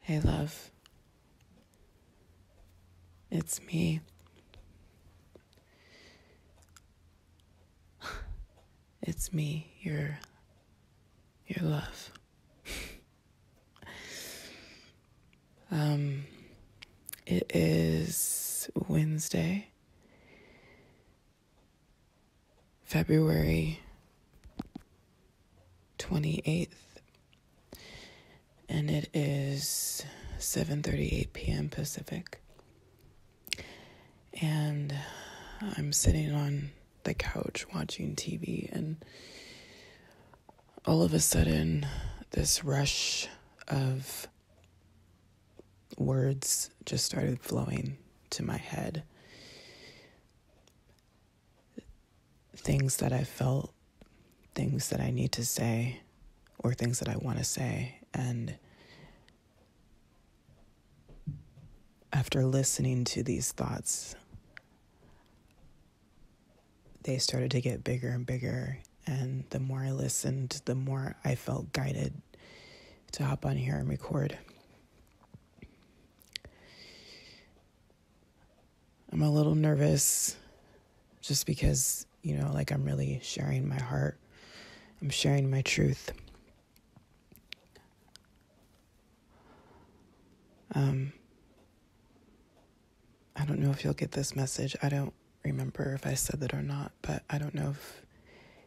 Hey, love. It's me. It's me, your your love. um it is Wednesday, February 28th, and it is 7:38 p.m. Pacific. And I'm sitting on the couch watching TV, and all of a sudden, this rush of words just started flowing to my head. Things that I felt, things that I need to say, or things that I want to say. And after listening to these thoughts, they started to get bigger and bigger. And the more I listened, the more I felt guided to hop on here and record. I'm a little nervous just because you know, like I'm really sharing my heart, I'm sharing my truth. Um, I don't know if you'll get this message. I don't remember if I said that or not, but I don't know if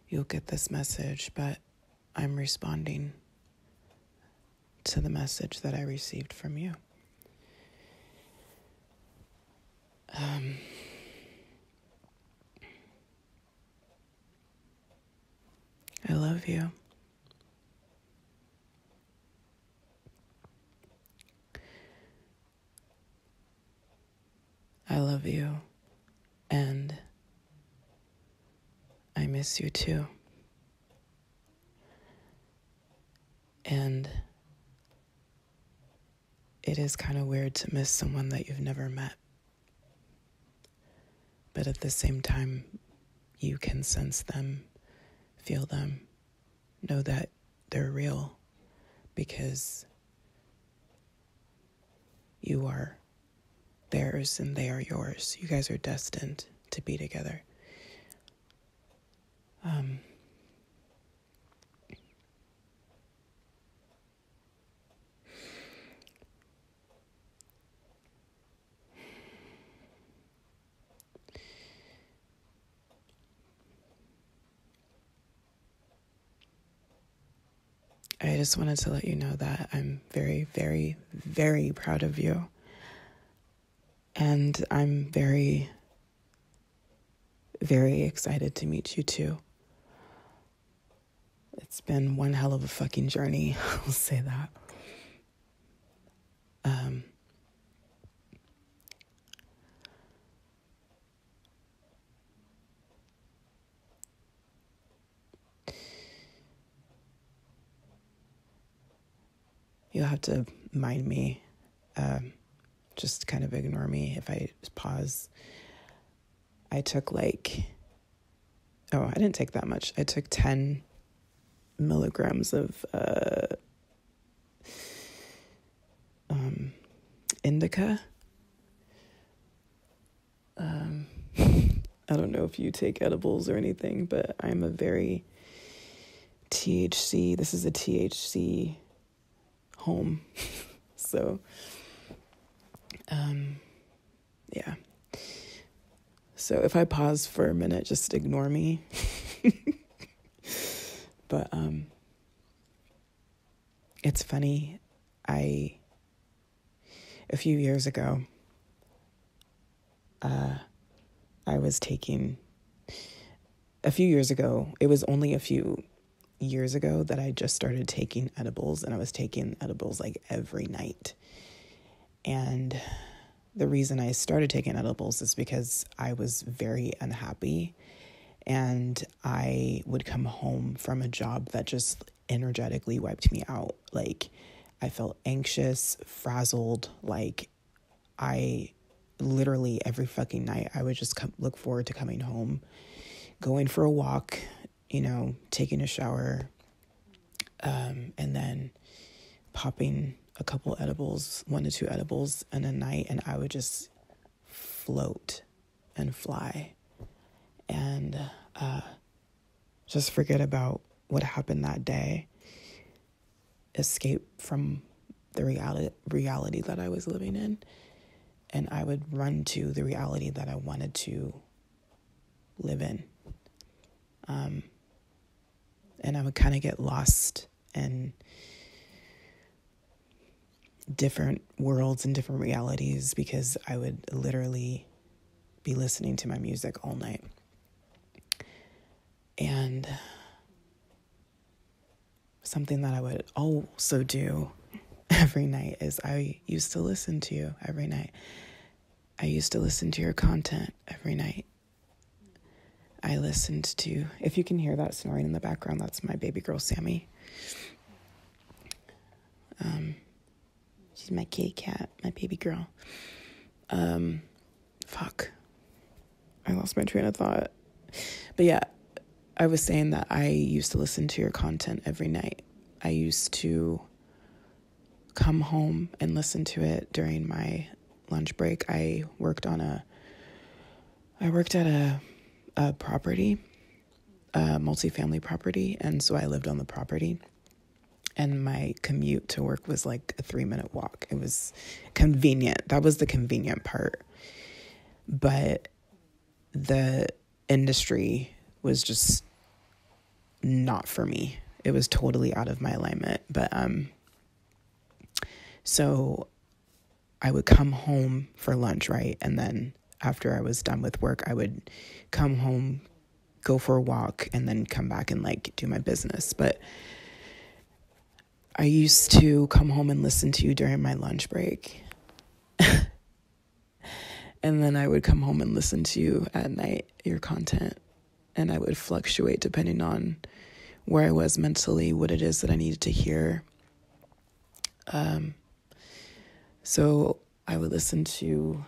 you'll get this message, but I'm responding to the message that I received from you. Um, I love you. I love you, and I miss you too. And it is kind of weird to miss someone that you've never met. But at the same time, you can sense them, feel them, know that they're real because you are theirs and they are yours. You guys are destined to be together. Um, I just wanted to let you know that I'm very, very, very proud of you. And I'm very very excited to meet you too. It's been one hell of a fucking journey, I'll say that. Um, you have to mind me. Um, just kind of ignore me if I pause. I took like, oh, I didn't take that much. I took 10 milligrams of uh, um, indica. Um, I don't know if you take edibles or anything, but I'm a very THC, this is a THC home. so, um, yeah. So if I pause for a minute, just ignore me. but um, it's funny. I a few years ago, uh, I was taking a few years ago. It was only a few years ago that I just started taking edibles, and I was taking edibles like every night. And the reason I started taking edibles is because I was very unhappy. And I would come home from a job that just energetically wiped me out. Like, I felt anxious, frazzled, like, I literally every fucking night I would just come, look forward to coming home, going for a walk, you know, taking a shower, um, and then popping a couple edibles, one to two edibles in a night, and I would just float and fly and uh, just forget about what happened that day, escape from the reality reality that I was living in and I would run to the reality that I wanted to live in. Um, and I would kind of get lost in different worlds and different realities because I would literally be listening to my music all night. And Something that I would also do every night is I used to listen to you every night. I used to listen to your content every night. I listened to, if you can hear that snoring in the background, that's my baby girl, Sammy. Um, she's my kitty cat, my baby girl. Um, fuck. I lost my train of thought. But yeah, I was saying that I used to listen to your content every night. I used to come home and listen to it during my lunch break. I worked on a I worked at a a property, a multifamily property, and so I lived on the property. And my commute to work was like a 3-minute walk. It was convenient. That was the convenient part. But the industry was just not for me. It was totally out of my alignment. But um so I would come home for lunch, right? And then after I was done with work, I would come home, go for a walk, and then come back and like do my business. But I used to come home and listen to you during my lunch break. and then I would come home and listen to you at night, your content. And I would fluctuate depending on where I was mentally, what it is that I needed to hear. Um, so I would listen to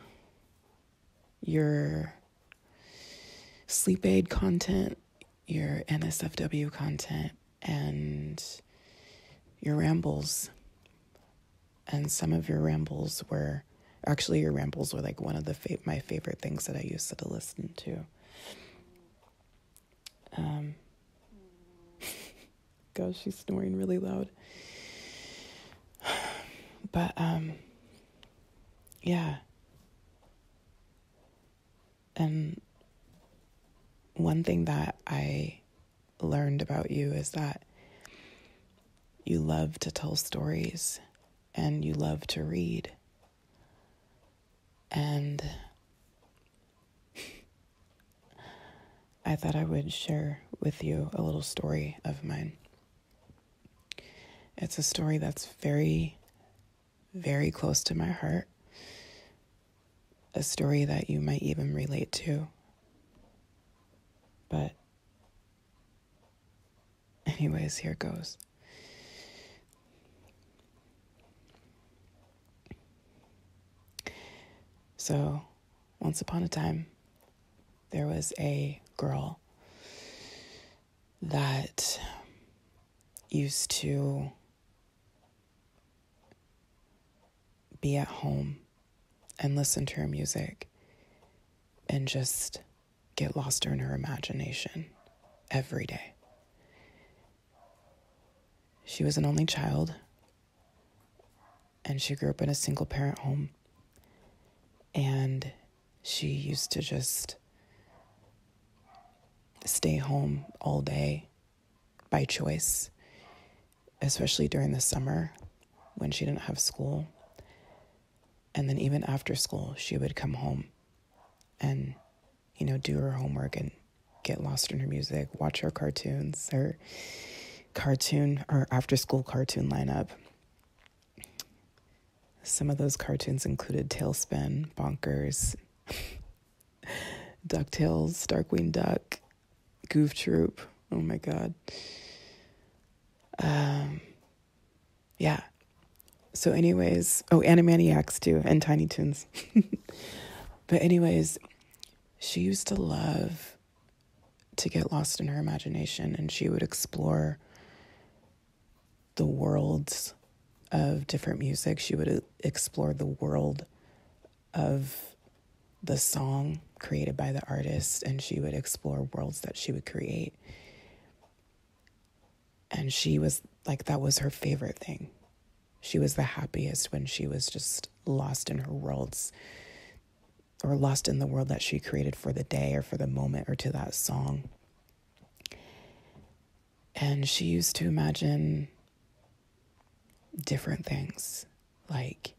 your sleep aid content, your NSFW content, and your rambles. And some of your rambles were actually your rambles were like one of the my favorite things that I used to listen to. Um, gosh, she's snoring really loud. But um, yeah, and um, one thing that I learned about you is that you love to tell stories and you love to read. And I thought I would share with you a little story of mine. It's a story that's very very close to my heart, a story that you might even relate to. But, anyways, here goes. So, once upon a time, there was a girl that used to be at home and listen to her music and just get lost in her imagination every day. She was an only child, and she grew up in a single parent home. And she used to just stay home all day by choice, especially during the summer when she didn't have school. And then even after school, she would come home and, you know, do her homework and get lost in her music, watch her cartoons, or cartoon, or after school cartoon lineup. Some of those cartoons included Tailspin, Bonkers, DuckTales, Darkwing Duck, Goof Troop. Oh my god. Um, yeah. So, anyways, oh, Animaniacs too, and Tiny Toons. but, anyways, she used to love to get lost in her imagination and she would explore the worlds of different music. She would uh, explore the world of the song created by the artist, and she would explore worlds that she would create. And she was like, that was her favorite thing. She was the happiest when she was just lost in her worlds or lost in the world that she created for the day or for the moment or to that song. And she used to imagine different things like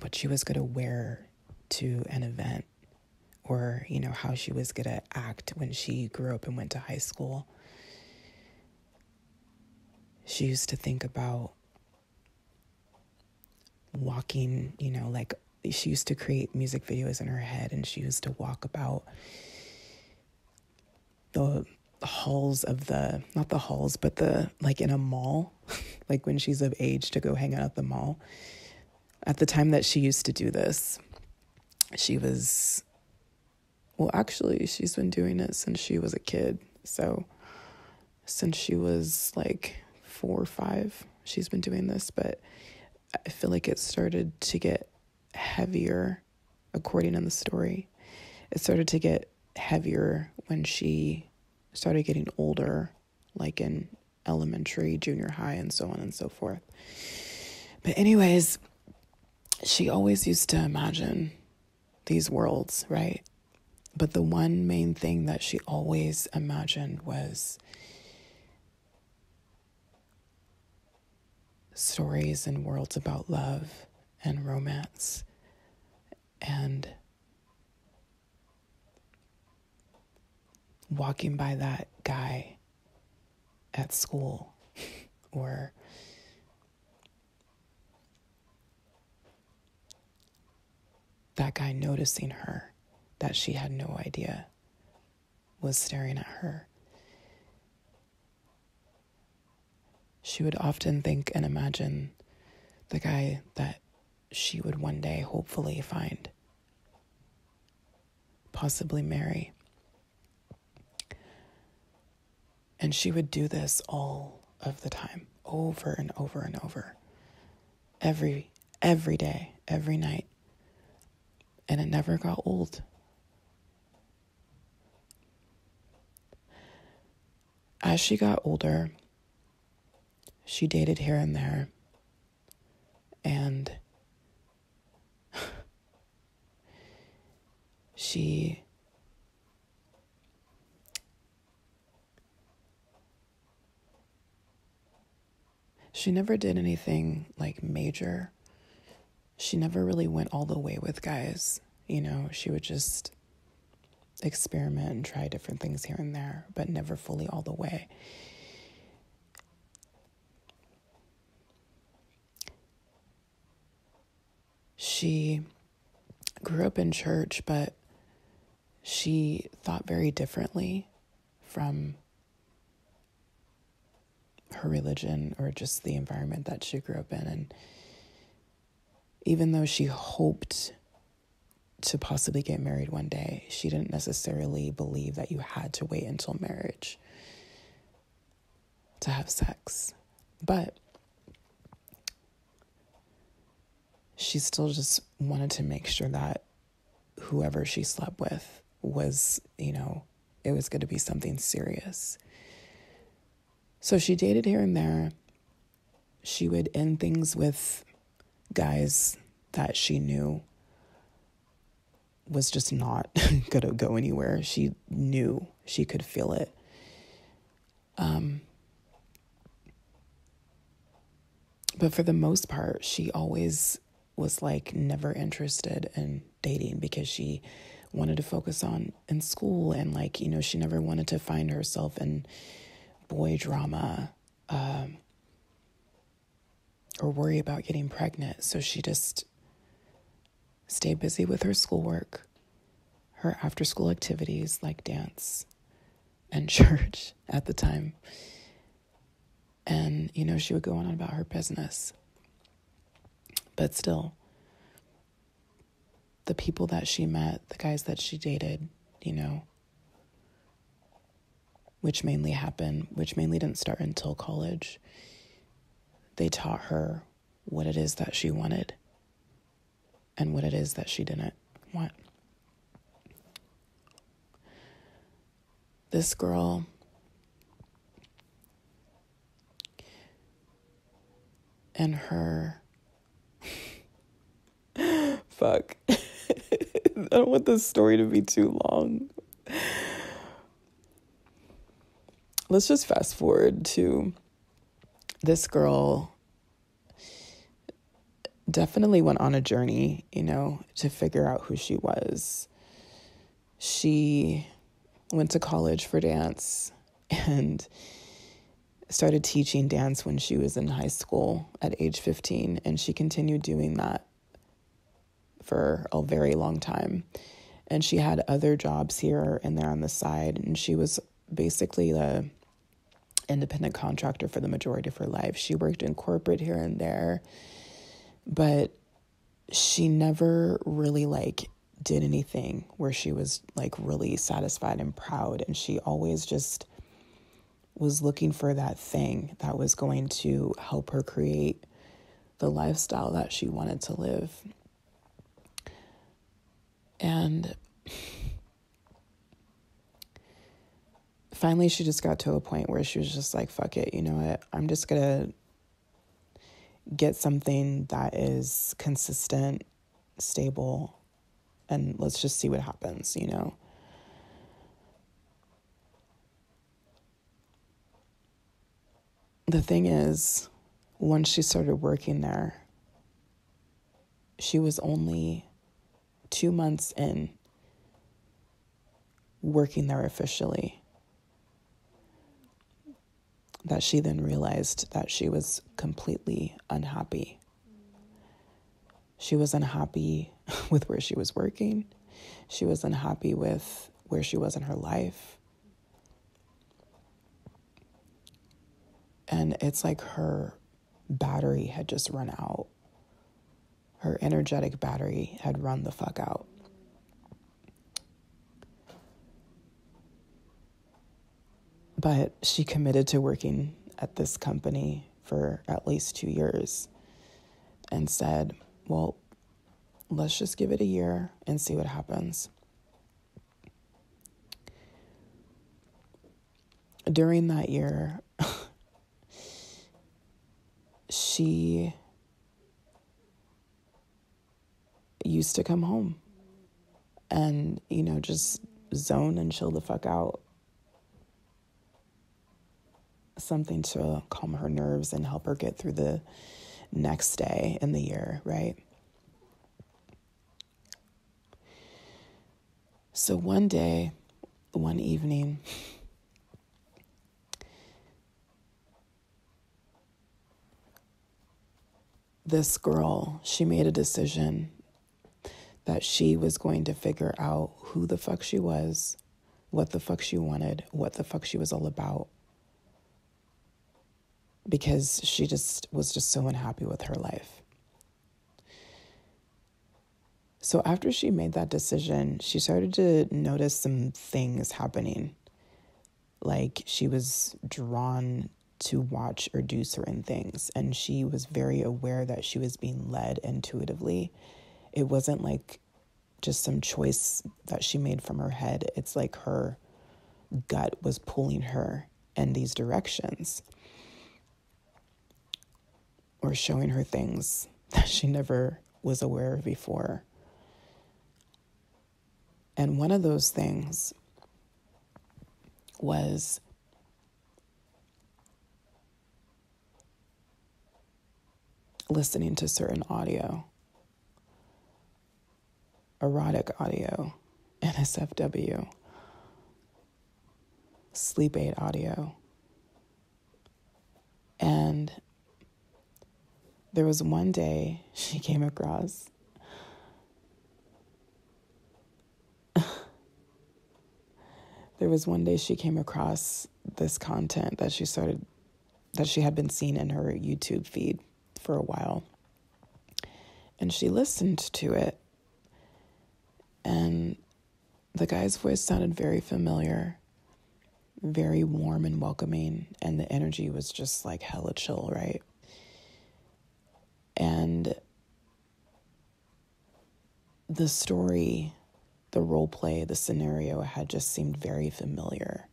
what she was going to wear to an event or you know how she was going to act when she grew up and went to high school she used to think about walking you know like she used to create music videos in her head and she used to walk about the halls of the not the halls but the like in a mall like when she's of age to go hang out at the mall at the time that she used to do this she was well actually she's been doing it since she was a kid so since she was like 4 or 5 she's been doing this but i feel like it started to get heavier, according to the story. It started to get heavier when she started getting older, like in elementary, junior high, and so on and so forth. But, anyways, she always used to imagine these worlds, right? But the one main thing that she always imagined was stories and worlds about love and romance and walking by that guy at school or that guy noticing her that she had no idea was staring at her. She would often think and imagine the guy that she would one day hopefully find, possibly marry. And she would do this all of the time, over and over and over. Every every day, every night, and it never got old. As she got older, she dated here and there. And she she never did anything like major. She never really went all the way with guys. You know, she would just experiment and try different things here and there, but never fully all the way. She grew up in church, but she thought very differently from her religion or just the environment that she grew up in. And even though she hoped to possibly get married one day, she didn't necessarily believe that you had to wait until marriage to have sex. But she still just wanted to make sure that whoever she slept with was, you know, it was going to be something serious. So she dated here and there. She would end things with guys that she knew was just not going to go anywhere. She knew, she could feel it. Um, but for the most part, she always was like never interested in dating because she wanted to focus on in school and like you know she never wanted to find herself in boy drama um, or worry about getting pregnant so she just stayed busy with her schoolwork her after school activities like dance and church at the time and, you know, she would go on about her business. But still, the people that she met, the guys that she dated, you know, which mainly happened, which mainly didn't start until college, they taught her what it is that she wanted and what it is that she didn't want this girl and her fuck i don't want this story to be too long let's just fast forward to this girl definitely went on a journey you know to figure out who she was she went to college for dance and started teaching dance when she was in high school at age 15 and she continued doing that for a very long time and she had other jobs here and there on the side and she was basically the independent contractor for the majority of her life she worked in corporate here and there but she never really like did anything where she was like really satisfied and proud and she always just was looking for that thing that was going to help her create the lifestyle that she wanted to live and finally she just got to a point where she was just like fuck it you know what i'm just going to get something that is consistent, stable, and let's just see what happens, you know? The thing is, once she started working there, she was only two months in working there officially that she then realized that she was completely unhappy. She was unhappy with where she was working. She was unhappy with where she was in her life. And it's like her battery had just run out her energetic battery had run the fuck out. But she committed to working at this company for at least two years and said, Well, let's just give it a year and see what happens. During that year, she used to come home and, you know, just zone and chill the fuck out. Something to calm her nerves and help her get through the next day in the year, right? So one day, one evening, this girl, she made a decision that she was going to figure out who the fuck she was, what the fuck she wanted, what the fuck she was all about. Because she just was just so unhappy with her life. So after she made that decision, she started to notice some things happening. Like she was drawn to watch or do certain things, and she was very aware that she was being led intuitively. It wasn't like just some choice that she made from her head, it's like her gut was pulling her in these directions or showing her things that she never was aware of before. And one of those things was listening to certain audio, erotic audio, NSFW, sleep aid audio, and there was one day she came across there was one day she came across this content that she started that she had been seeing in her YouTube feed for a while. And she listened to it. And the guy's voice sounded very familiar very warm and welcoming, and the energy was just like hella chill, right? And the story, the role play, the scenario had just seemed very familiar,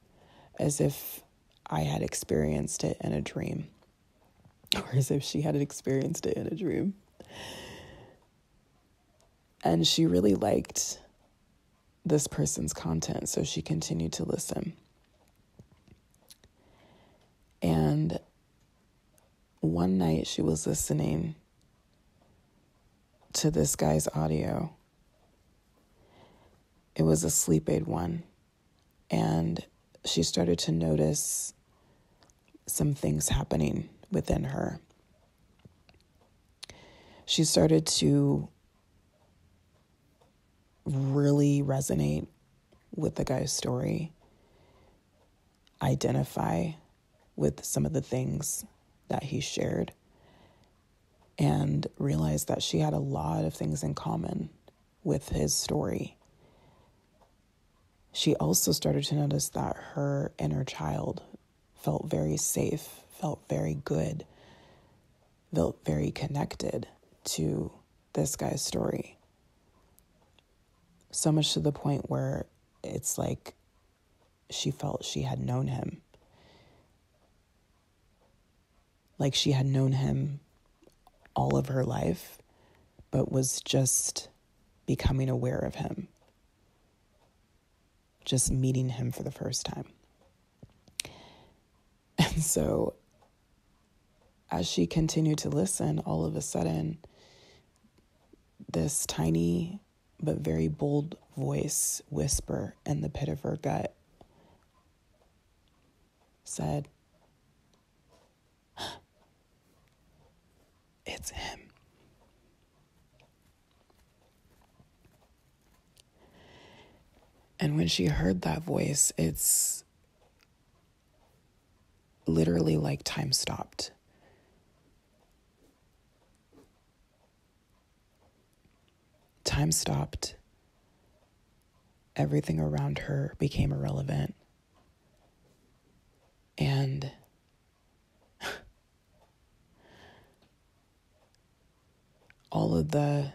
as if I had experienced it in a dream, or as if she had experienced it in a dream. And she really liked this person's content. So she continued to listen. And one night she was listening to this guy's audio. It was a sleep aid one. And she started to notice some things happening within her she started to really resonate with the guy's story, identify with some of the things that he shared, and realized that she had a lot of things in common with his story. She also started to notice that her inner child felt very safe, felt very good, felt very connected to this guy's story. So much to the point where it's like she felt she had known him. Like she had known him all of her life, but was just becoming aware of him just meeting him for the first time. And so, as she continued to listen, all of a sudden, this tiny but very bold voice whisper in the pit of her gut said, It's him. And when she heard that voice, it's literally like time stopped. Time stopped. Everything around her became irrelevant. And all of the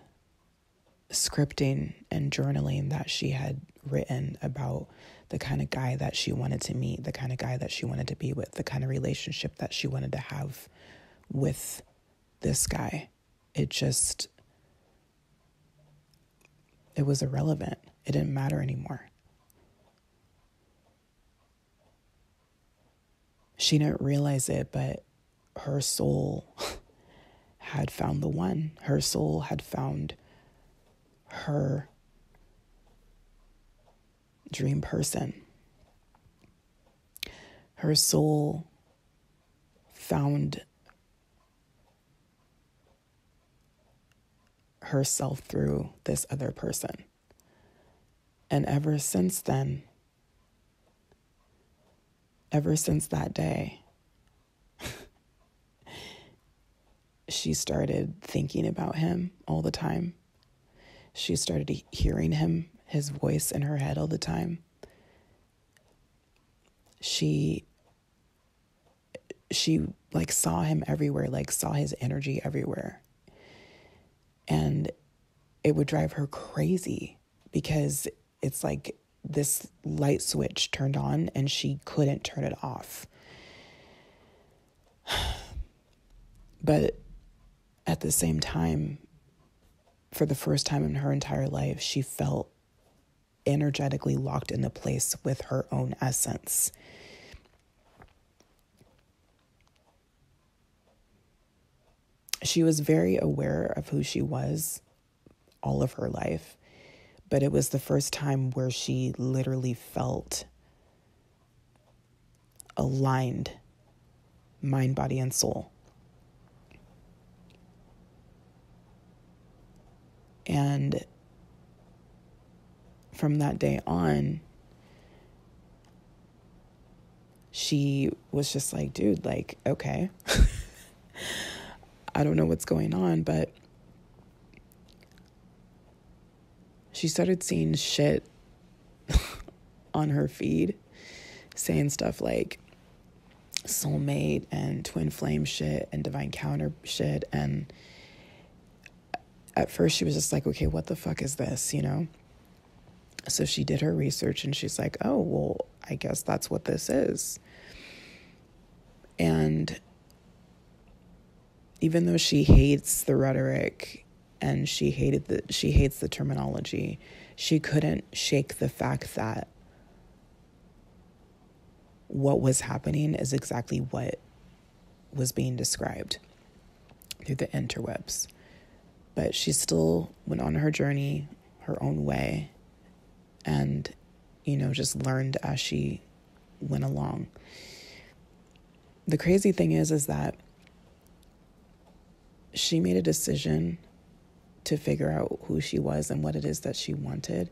scripting and journaling that she had written about the kind of guy that she wanted to meet, the kind of guy that she wanted to be with, the kind of relationship that she wanted to have with this guy. It just it was irrelevant. It didn't matter anymore. She didn't realize it, but her soul had found the one. Her soul had found her dream person. Her soul found herself through this other person. And ever since then, ever since that day, she started thinking about him all the time. She started hearing him, his voice in her head all the time. She she like saw him everywhere, like saw his energy everywhere. And it would drive her crazy because it's like this light switch turned on and she couldn't turn it off. But at the same time, for the first time in her entire life, she felt energetically locked in the place with her own essence. She was very aware of who she was all of her life, but it was the first time where she literally felt aligned mind, body, and soul. And from that day on, she was just like, dude, like, okay. I don't know what's going on, but she started seeing shit on her feed saying stuff like soulmate and twin flame shit and divine counter shit and at first she was just like okay what the fuck is this you know so she did her research and she's like, oh, well, I guess that's what this is. And even though she hates the rhetoric and she hated the she hates the terminology, she couldn't shake the fact that what was happening is exactly what was being described through the interwebs. But she still went on her journey her own way and, you know, just learned as she went along. The crazy thing is, is that she made a decision to figure out who she was and what it is that she wanted.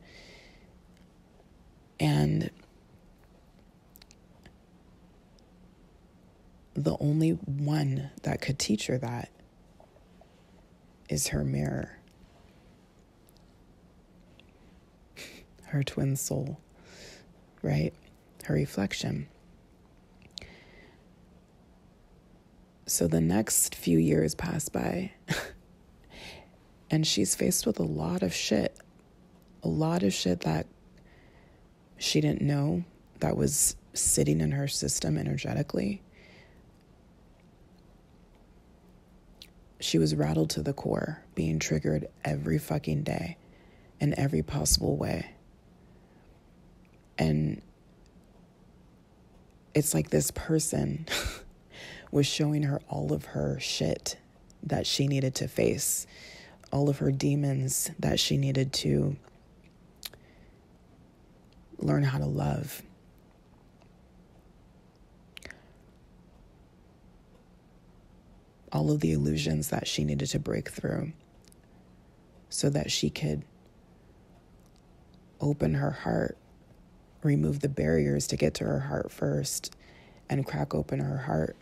And the only one that could teach her that is her mirror, her twin soul, right? Her reflection. So the next few years pass by, and she's faced with a lot of shit, a lot of shit that she didn't know that was sitting in her system energetically. She was rattled to the core, being triggered every fucking day in every possible way. And it's like this person was showing her all of her shit that she needed to face, all of her demons that she needed to learn how to love. All of the illusions that she needed to break through so that she could open her heart, remove the barriers to get to her heart first, and crack open her heart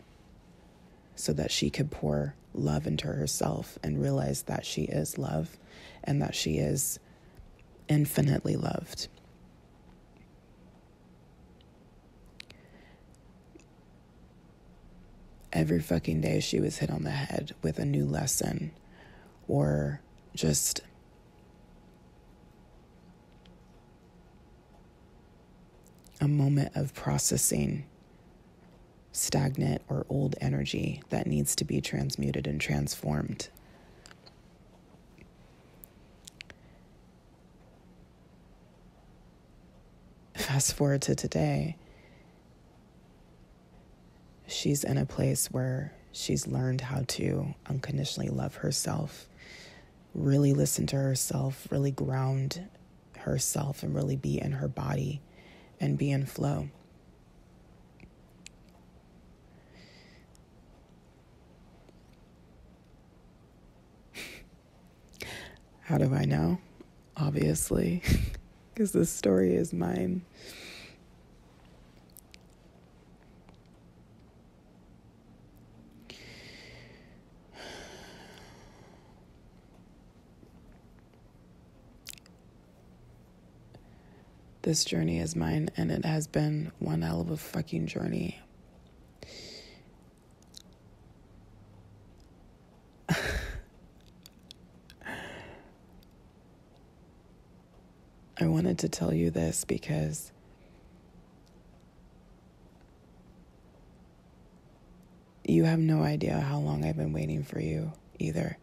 so that she could pour love into herself and realize that she is love and that she is infinitely loved. Every fucking day, she was hit on the head with a new lesson or just a moment of processing stagnant or old energy that needs to be transmuted and transformed. Fast forward to today, she's in a place where she's learned how to unconditionally love herself, really listen to herself, really ground herself and really be in her body and be in flow. How do I know? Obviously, because this story is mine. This journey is mine, and it has been one hell of a fucking journey. I wanted to tell you this because you have no idea how long I've been waiting for you either.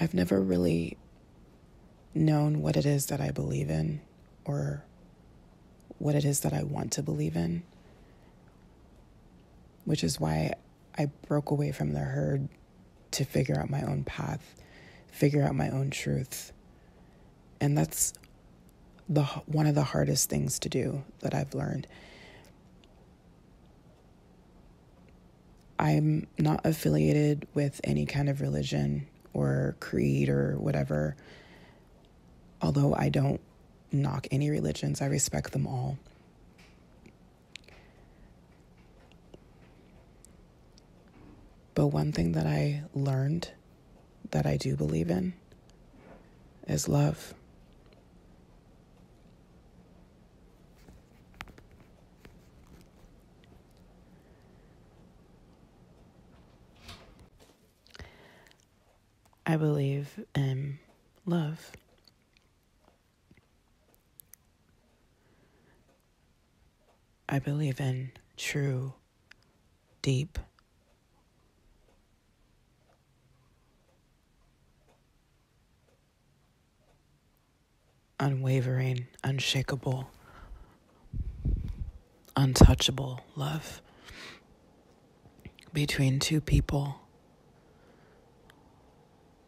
I've never really known what it is that I believe in or what it is that I want to believe in, which is why I broke away from the herd to figure out my own path, figure out my own truth. And that's the one of the hardest things to do that I've learned. I'm not affiliated with any kind of religion or creed or whatever. Although I don't knock any religions, I respect them all. But one thing that I learned that I do believe in is love. I believe in love. I believe in true, deep unwavering, unshakable, untouchable love between two people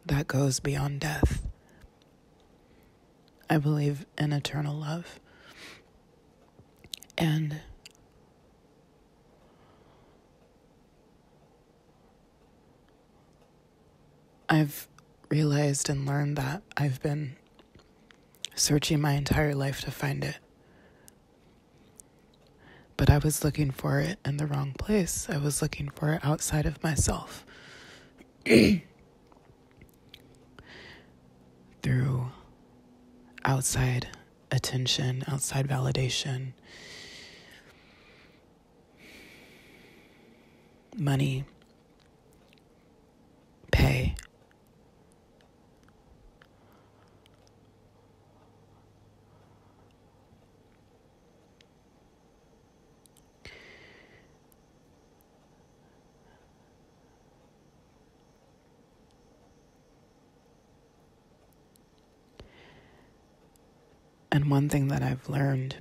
that goes beyond death. I believe in eternal love. And I've realized and learned that I've been searching my entire life to find it. But I was looking for it in the wrong place. I was looking for it outside of myself. Through outside attention, outside validation, money, pay. And one thing that I've learned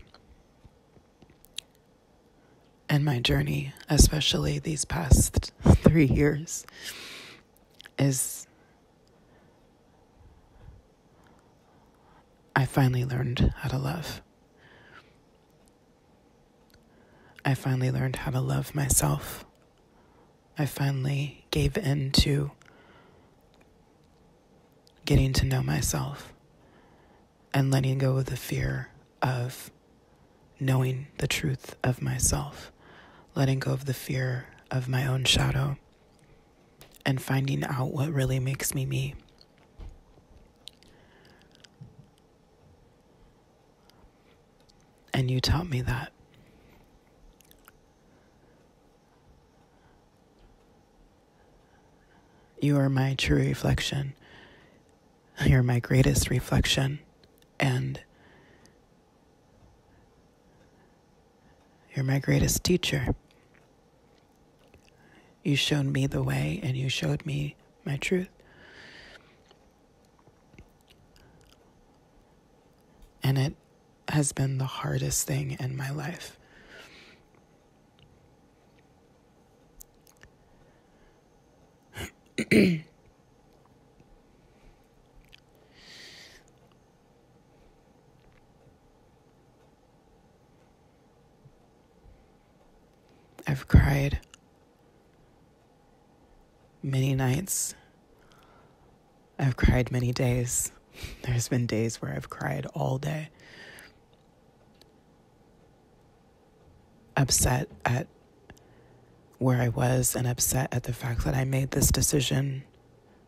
and my journey, especially these past three years, is I finally learned how to love. I finally learned how to love myself. I finally gave in to getting to know myself and letting go of the fear of knowing the truth of myself, letting go of the fear of my own shadow, and finding out what really makes me me. And you taught me that. You are my true reflection You're my greatest reflection, and you're my greatest teacher. You showed me the way, and you showed me my truth. And it has been the hardest thing in my life I've cried many nights. I've cried many days. There's been days where I've cried all day upset at where I was and upset at the fact that I made this decision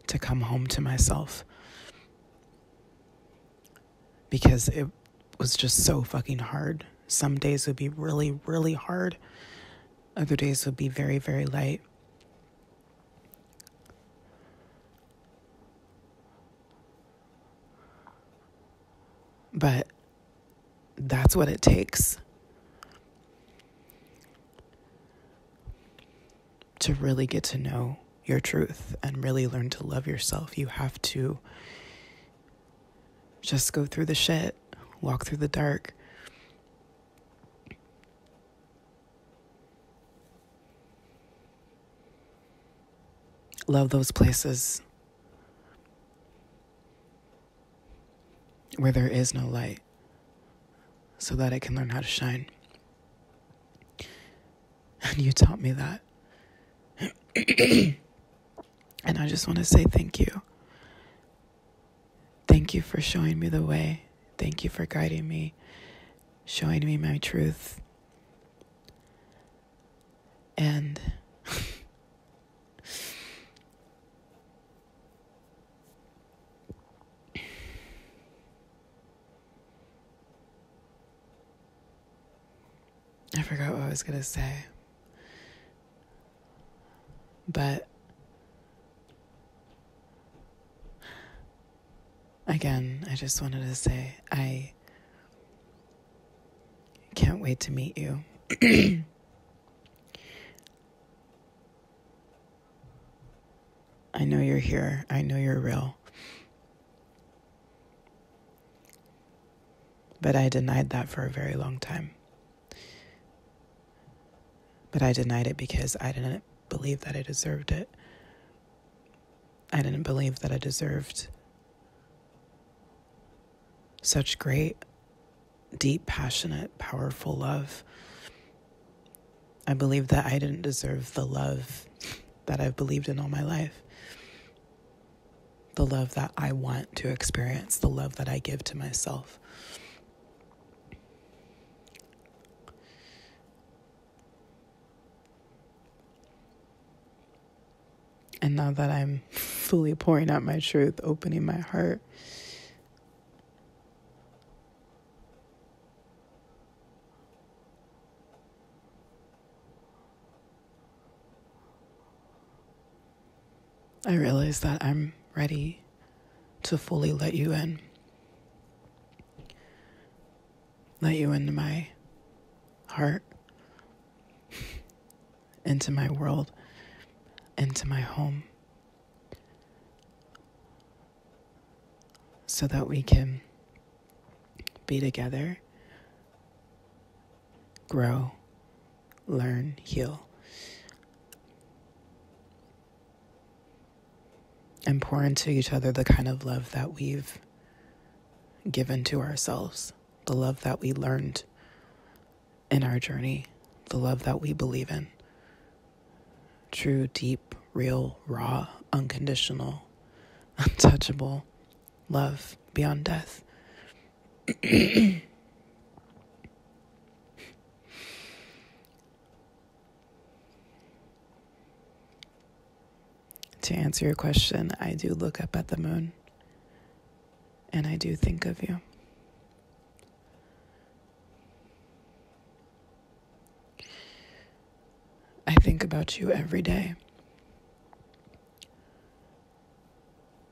to come home to myself because it was just so fucking hard. Some days would be really, really hard, other days would be very, very light. But that's what it takes to really get to know your truth and really learn to love yourself. You have to just go through the shit, walk through the dark. Love those places where there is no light so that I can learn how to shine. And you taught me that. and I just want to say thank you. Thank you for showing me the way. Thank you for guiding me, showing me my truth. And I forgot what I was going to say. But again, I just wanted to say I can't wait to meet you. I know you're here. I know you're real. But I denied that for a very long time. But I denied it because I didn't believe that I deserved it. I didn't believe that I deserved such great, deep, passionate, powerful love. I believe that I didn't deserve the love that I've believed in all my life. The love that I want to experience, the love that I give to myself. And now that I'm fully pouring out my truth, opening my heart, I realize that I'm ready to fully let you in. Let you into my heart. into my world, into my home, so that we can be together, grow, learn, heal, and pour into each other the kind of love that we've given to ourselves the love that we learned in our journey, the love that we believe in. True, deep, real, raw, unconditional, untouchable love beyond death to answer your question, I do look up at the moon and I do think of you. I think about you every day.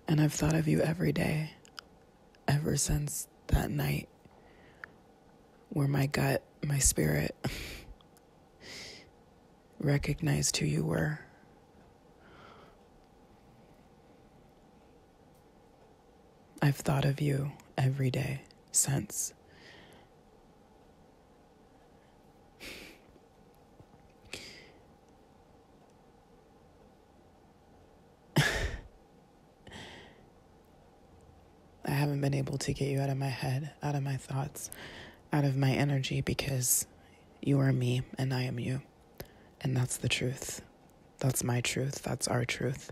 And I've thought of you every day ever since that night where my gut, my spirit, recognized who you were. I've thought of you every day since. I haven't been able to get you out of my head, out of my thoughts, out of my energy because you are me, and I am you. And that's the truth. That's my truth. That's our truth.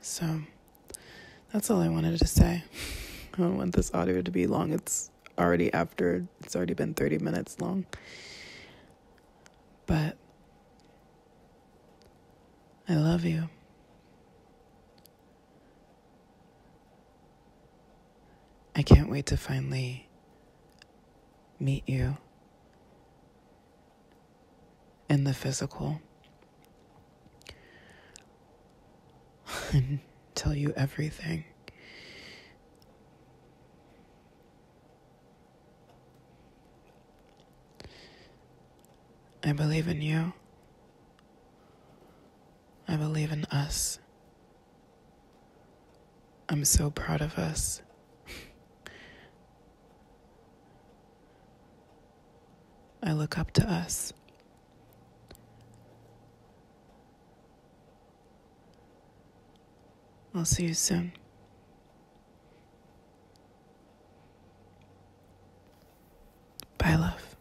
So. That's all I wanted to say. I don't want this audio to be long. It's already after, it's already been 30 minutes long. But I love you. I can't wait to finally meet you in the physical and tell you everything. I believe in you. I believe in us. I'm so proud of us. I look up to us. I'll see you soon. Bye, love.